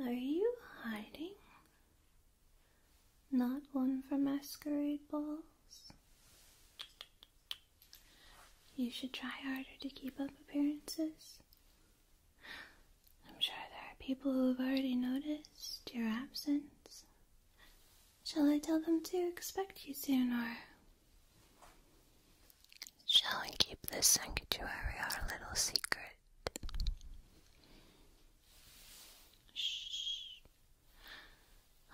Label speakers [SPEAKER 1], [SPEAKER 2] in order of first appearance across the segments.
[SPEAKER 1] Are you hiding? Not one for masquerade balls? You should try harder to keep up appearances. I'm sure there are people who have already noticed your absence. Shall I tell them to expect you soon, or shall we keep this sanctuary our little secret? Shh.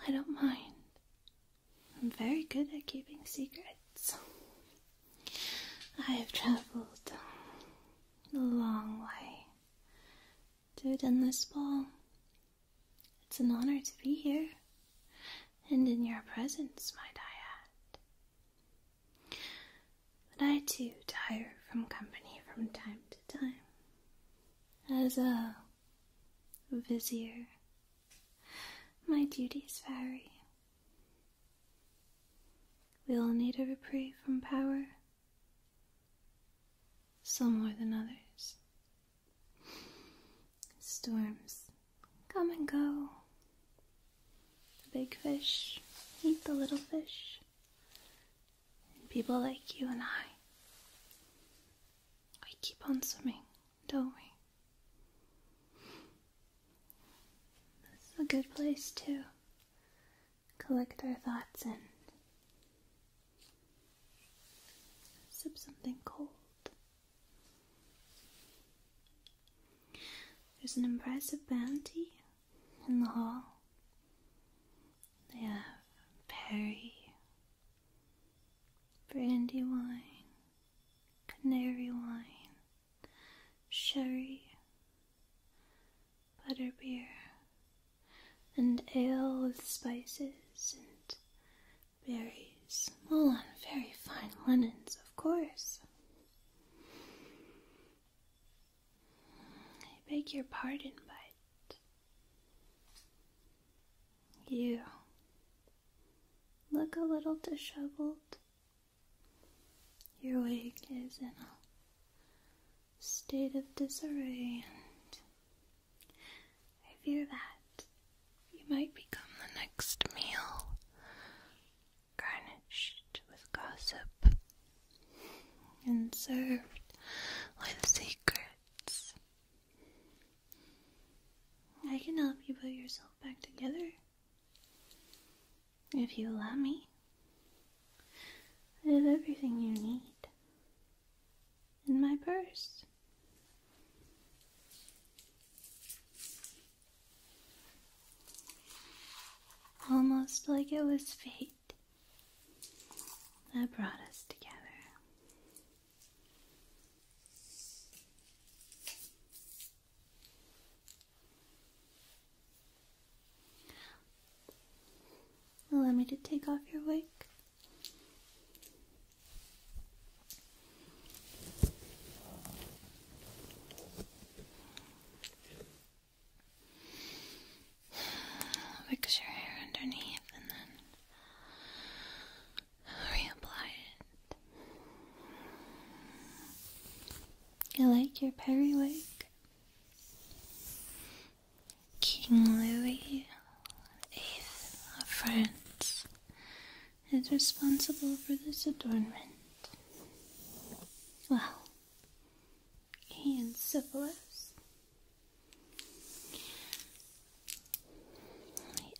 [SPEAKER 1] I don't mind. I'm very good at keeping secrets. I've traveled a long way to attend this ball. It's an honor to be here and in your presence, my diad. add. But I too tire from company from time to time. As a vizier, my duties vary. We all need a reprieve from power, some more than others. Storms come and go. The big fish eat the little fish. And people like you and I, we keep on swimming, don't we? This is a good place to collect our thoughts and sip something cold. There's an impressive bounty in the hall. They have perry, brandy wine, canary wine, sherry, butterbeer, and ale with spices and berries, all on very fine linens, of course. I beg your pardon, but you look a little disheveled your wig is in a state of disarray, and I fear that you might become the next meal garnished with gossip and served with secrets. I can help you put yourself back together if you let me, I have everything you need in my purse. Almost like it was fate that brought us together. Allow me to take off your wig. Fix your hair underneath and then reapply it. I like your periwig. King Louis VIII of France is responsible for this adornment. Well, he and syphilis.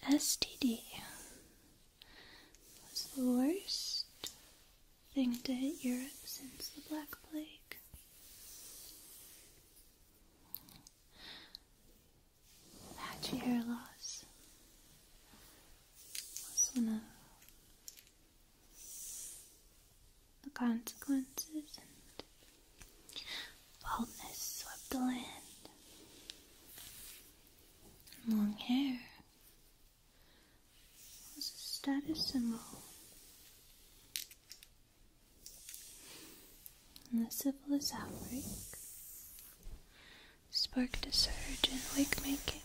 [SPEAKER 1] The STD was the worst thing to hit Europe since the Black Plague. Patchy hair loss was one of the consequences, and baldness swept the land. long hair was a status symbol and the syphilis outbreak sparked a surge in wig making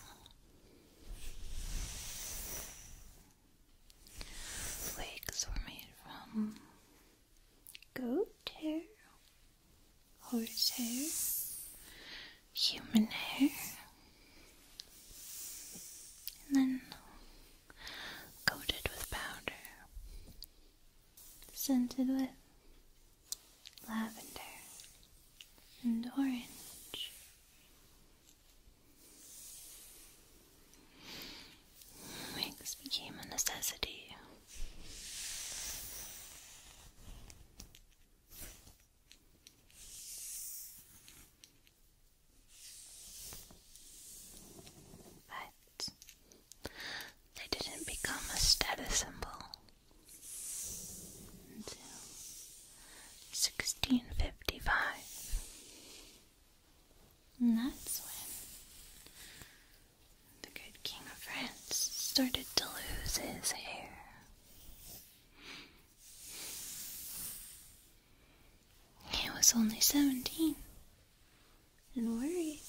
[SPEAKER 1] wigs were made from goat hair horse hair human hair. And then coated with powder, scented with lavender and orange. Wigs became a necessity. But they didn't become a status symbol until 1655. And that's when the good King of France started to lose his hair. He was only seventeen and worried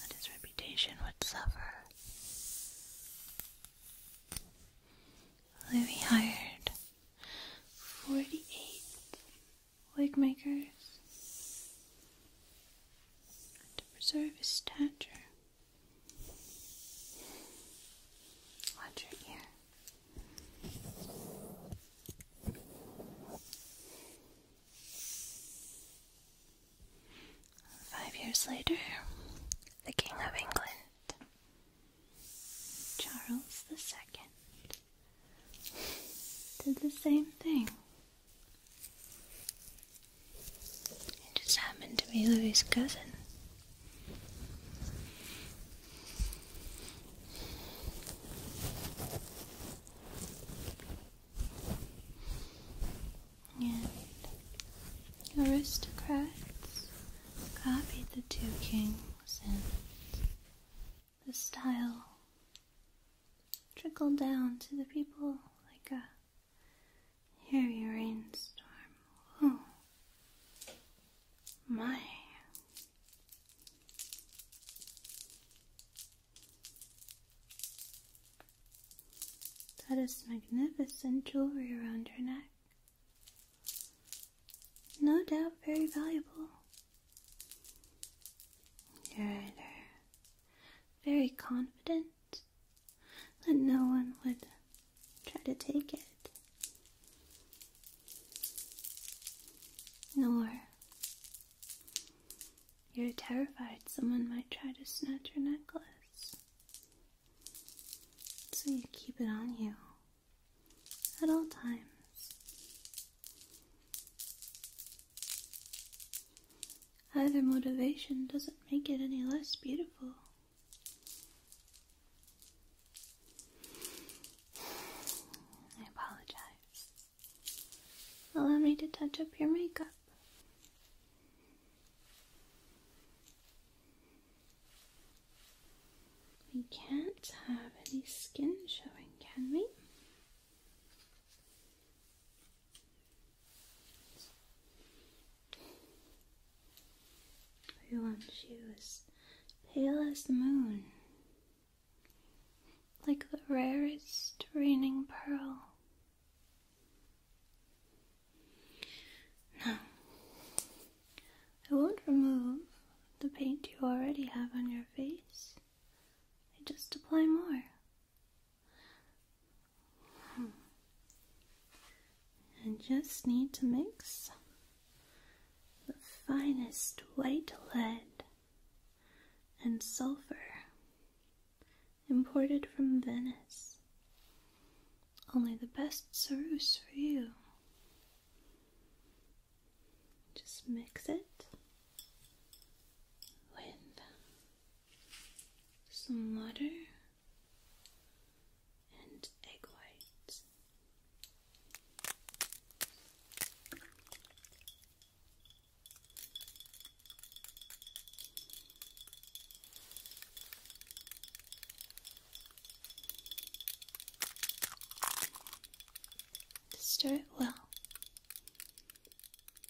[SPEAKER 1] that his reputation would suffer. Louis hired forty eight wig makers to preserve his stature Watch your ear. Five years later, the King of England, Charles II, did the same thing it just happened to be Louis's cousin. And aristocrats copied the two kings and the style trickled down to the people like a Heavy rainstorm. Oh my. That is magnificent jewelry around your neck. No doubt very valuable. Good. Very confident it, that no one would try to take it, nor you're terrified someone might try to snatch your necklace. So you keep it on you at all times. Either motivation doesn't make it any less beautiful. I apologize. Allow me to touch up your makeup. We can't have any skin showing, can we? Pale and she was pale as the moon, like the rarest raining pearl. Now, I won't remove the paint you already have on your face. I just apply more. And hmm. just need to mix the finest white lead and sulfur imported from Venice. Only the best ceruse for you. Just mix it with some water and egg whites. Stir it well.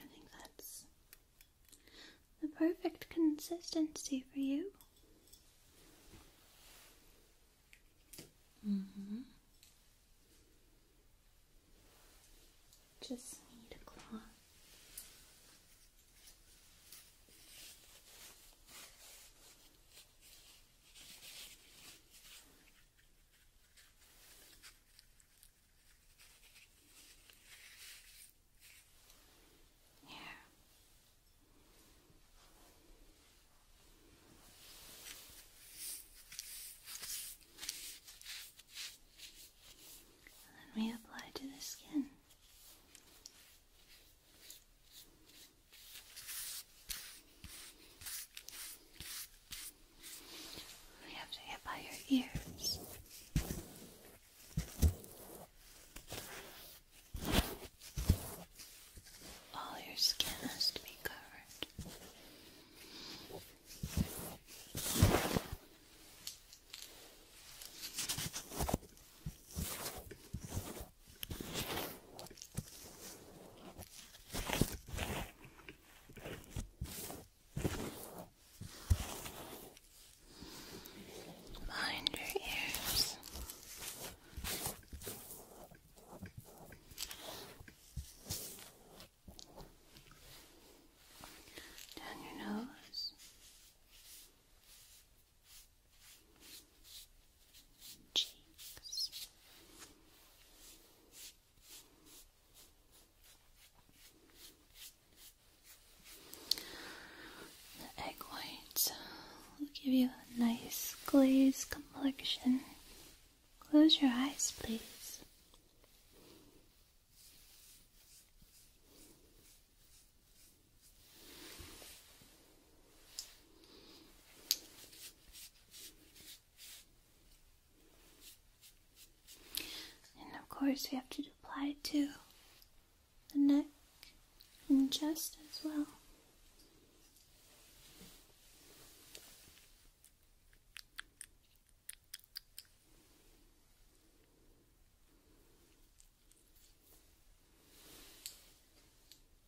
[SPEAKER 1] I think that's the perfect consistency for you. Mm-hmm. Just need a cloth. Yeah. And we apply to the skin. You have to get by your ears. All your skin has to be covered. Mind your ears. Down your nose. The egg whites uh, will give you a nice glazed complexion. Close your eyes, please. And of course, we have to apply it to the neck and chest as well.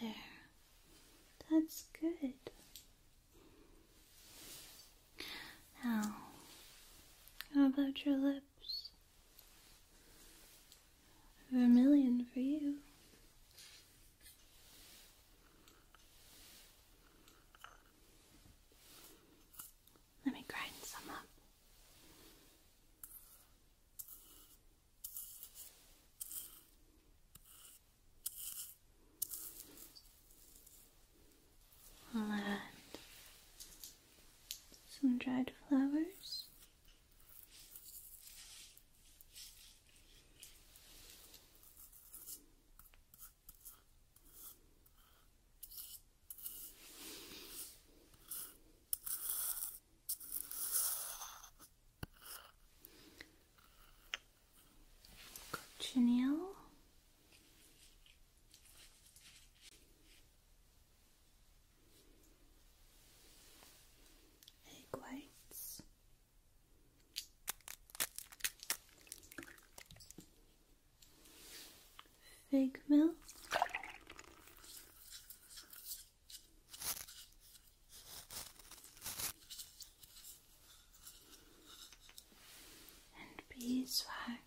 [SPEAKER 1] There. That's good. Now, how about your lips? Vermilion for you. Let me grind some up. i some dried flowers. Cochineal. Egg whites fig milk And beeswax.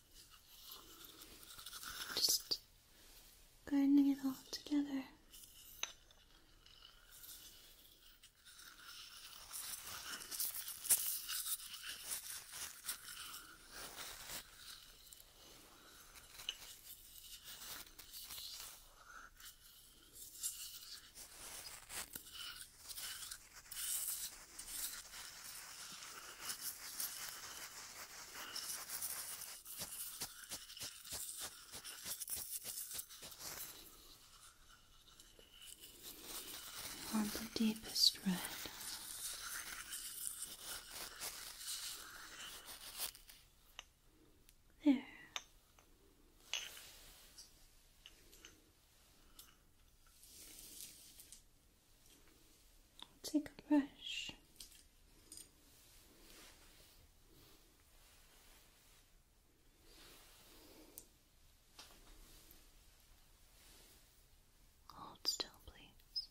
[SPEAKER 1] Just gardening it all together. You want the deepest red. There. I'll take a brush. Hold still, please.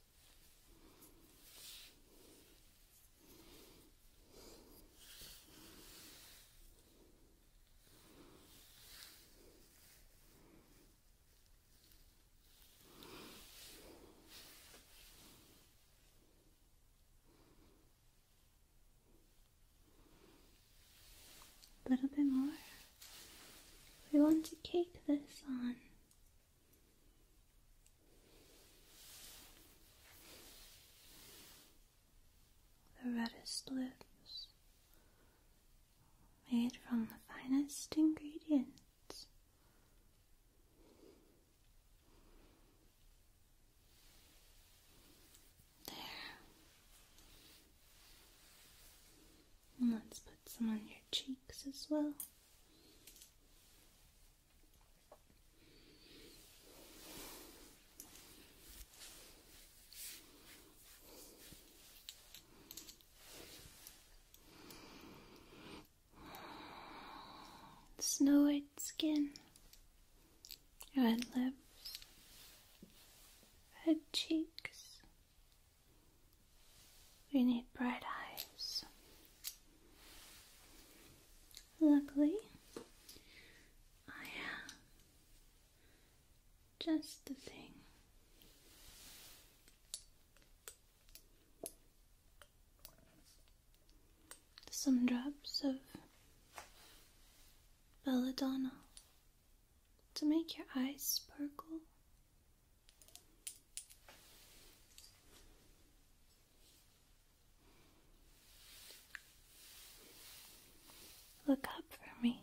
[SPEAKER 1] A little bit more. We want to cake this on. The reddest lips made from the finest ingredients. There. let's put some on your cheeks as well. Snow white skin, red lips, red cheeks. We need bright eyes. Luckily, I have just the thing. Some drops of belladonna to make your eyes sparkle. Look up for me.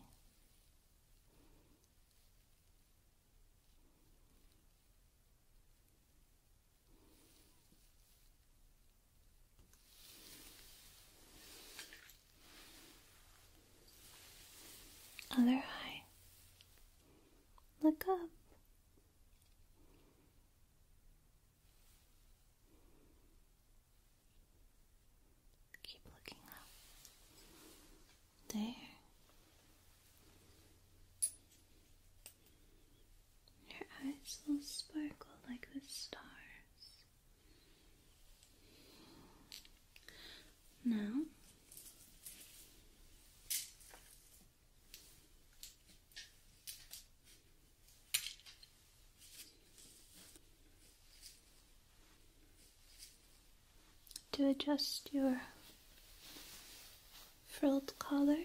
[SPEAKER 1] Other eye. Look up. Keep looking up. There. Your eyes will sparkle like the stars. Now, to adjust your frilled collar.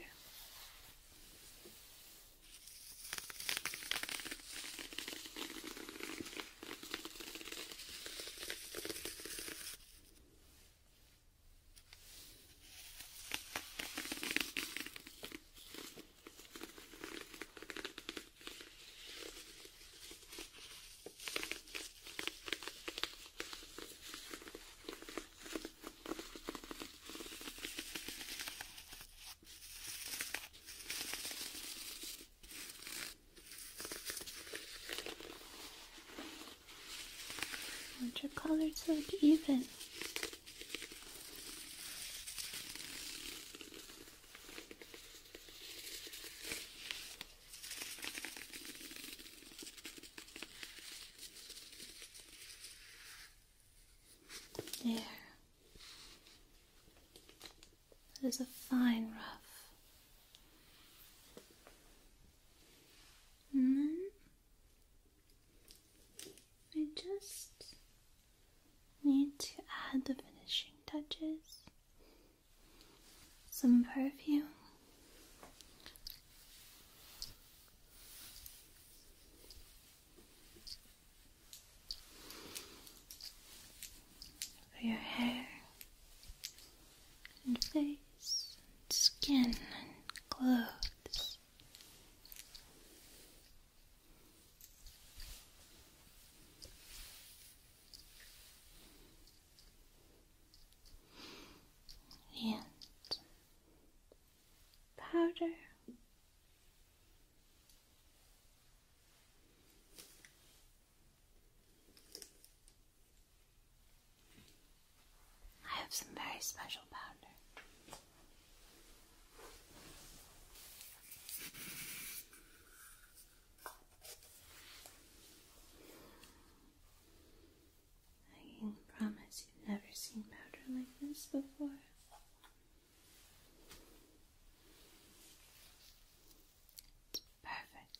[SPEAKER 1] I want your color to look even. There. That is a fine rough. And then I just need to add the finishing touches some perfume. For your hair and face skin and clothes and powder. I have some very special powder. I can promise you've never seen powder like this before. It's perfect.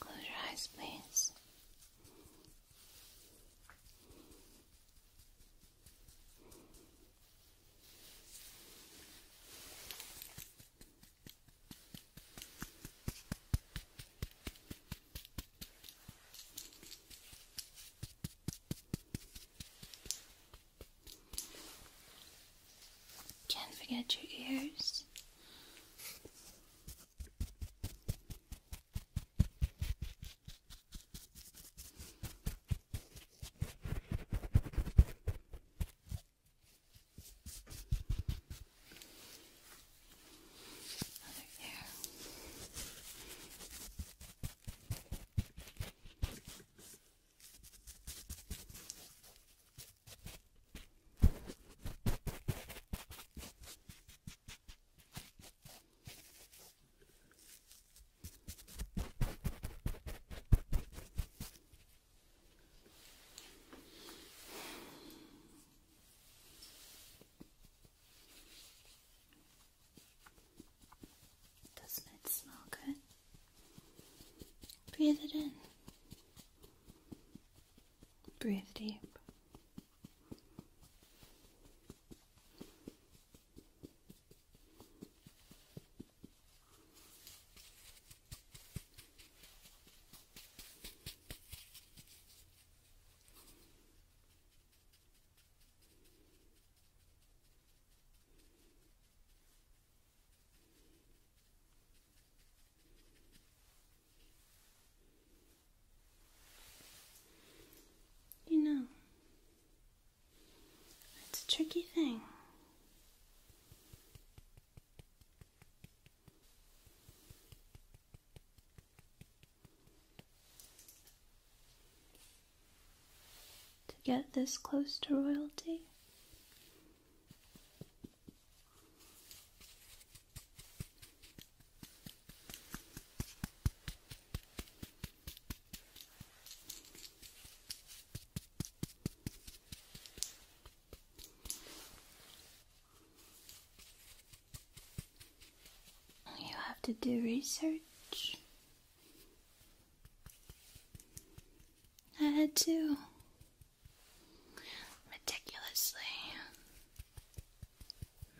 [SPEAKER 1] Close your eyes, please. Can't forget your ears. Other ear. Okay. Doesn't it smell good? Breathe it in. Breathe deep. You know, it's a tricky thing. To get this close to royalty, you have to do research. I had to. Meticulously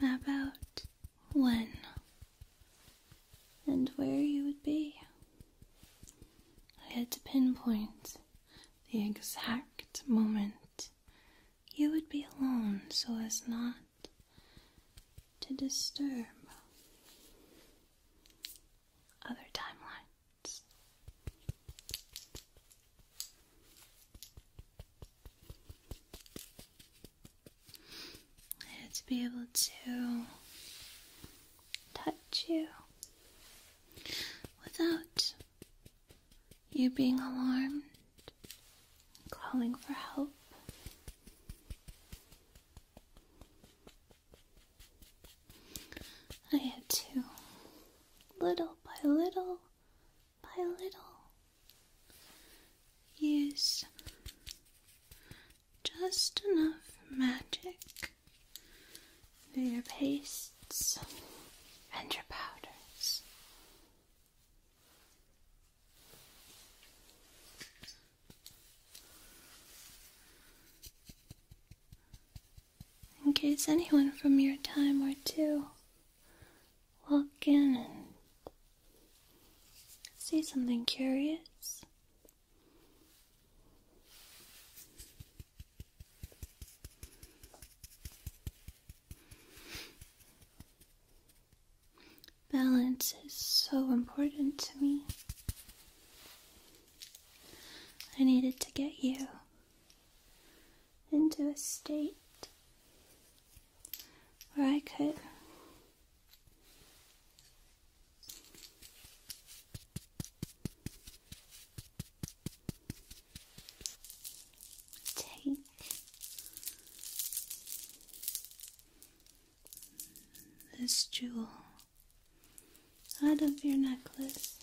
[SPEAKER 1] map out when and where you would be. I had to pinpoint the exact moment you would be alone so as not to disturb other timeline to be able to touch you without you being alarmed, calling for help. I had to, little by little by little, use just enough magic for your pastes and your powders in case anyone from your time or two walk in and see something curious. Balance is so important to me. I needed to get you into a state where I could take this jewel out of your necklace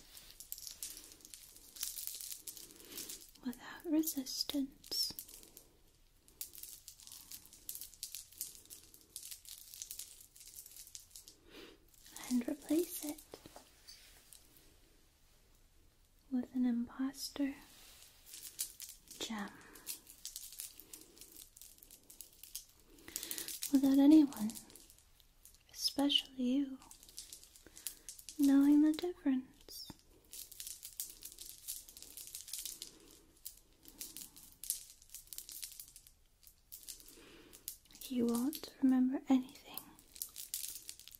[SPEAKER 1] without resistance. And replace it with an imposter gem without anyone especially you, knowing the difference. You won't remember anything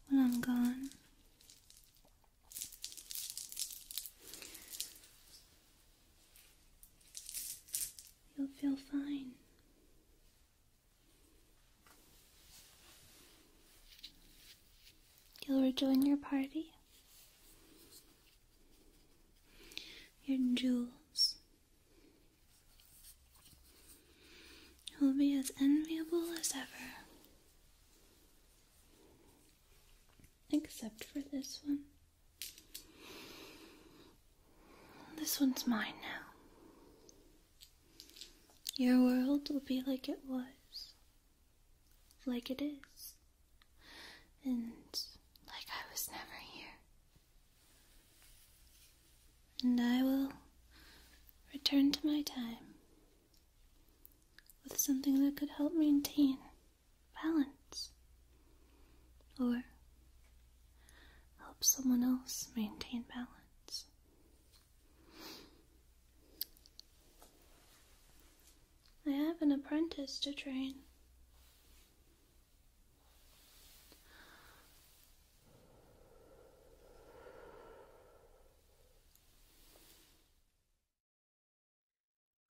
[SPEAKER 1] when I'm gone. You'll feel fine. You'll rejoin your party. Your jewels will be as enviable as ever, except for this one. This one's mine now. Your world will be like it was, like it is, and like I was never here. And I will return to my time with something that could help maintain balance or help someone else maintain balance. I have an apprentice to train.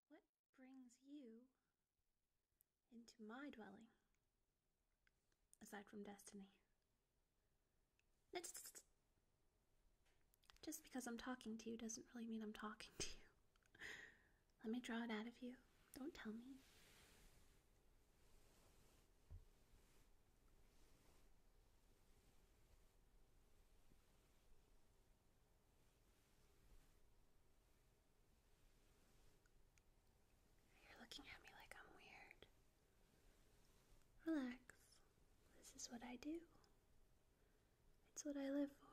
[SPEAKER 1] What brings you into my dwelling, aside from destiny. It's just because I'm talking to you doesn't really mean I'm talking to you. Let me draw it out of you. Don't tell me. You're looking at me like I'm weird. Relax. This is what I do, it's what I live for.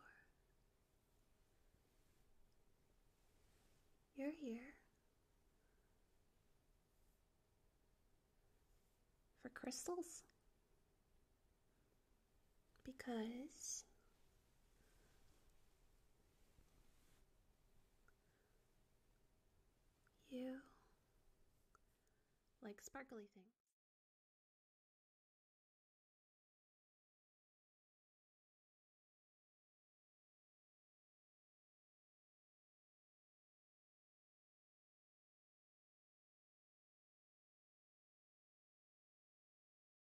[SPEAKER 1] You're here for crystals because you like sparkly things.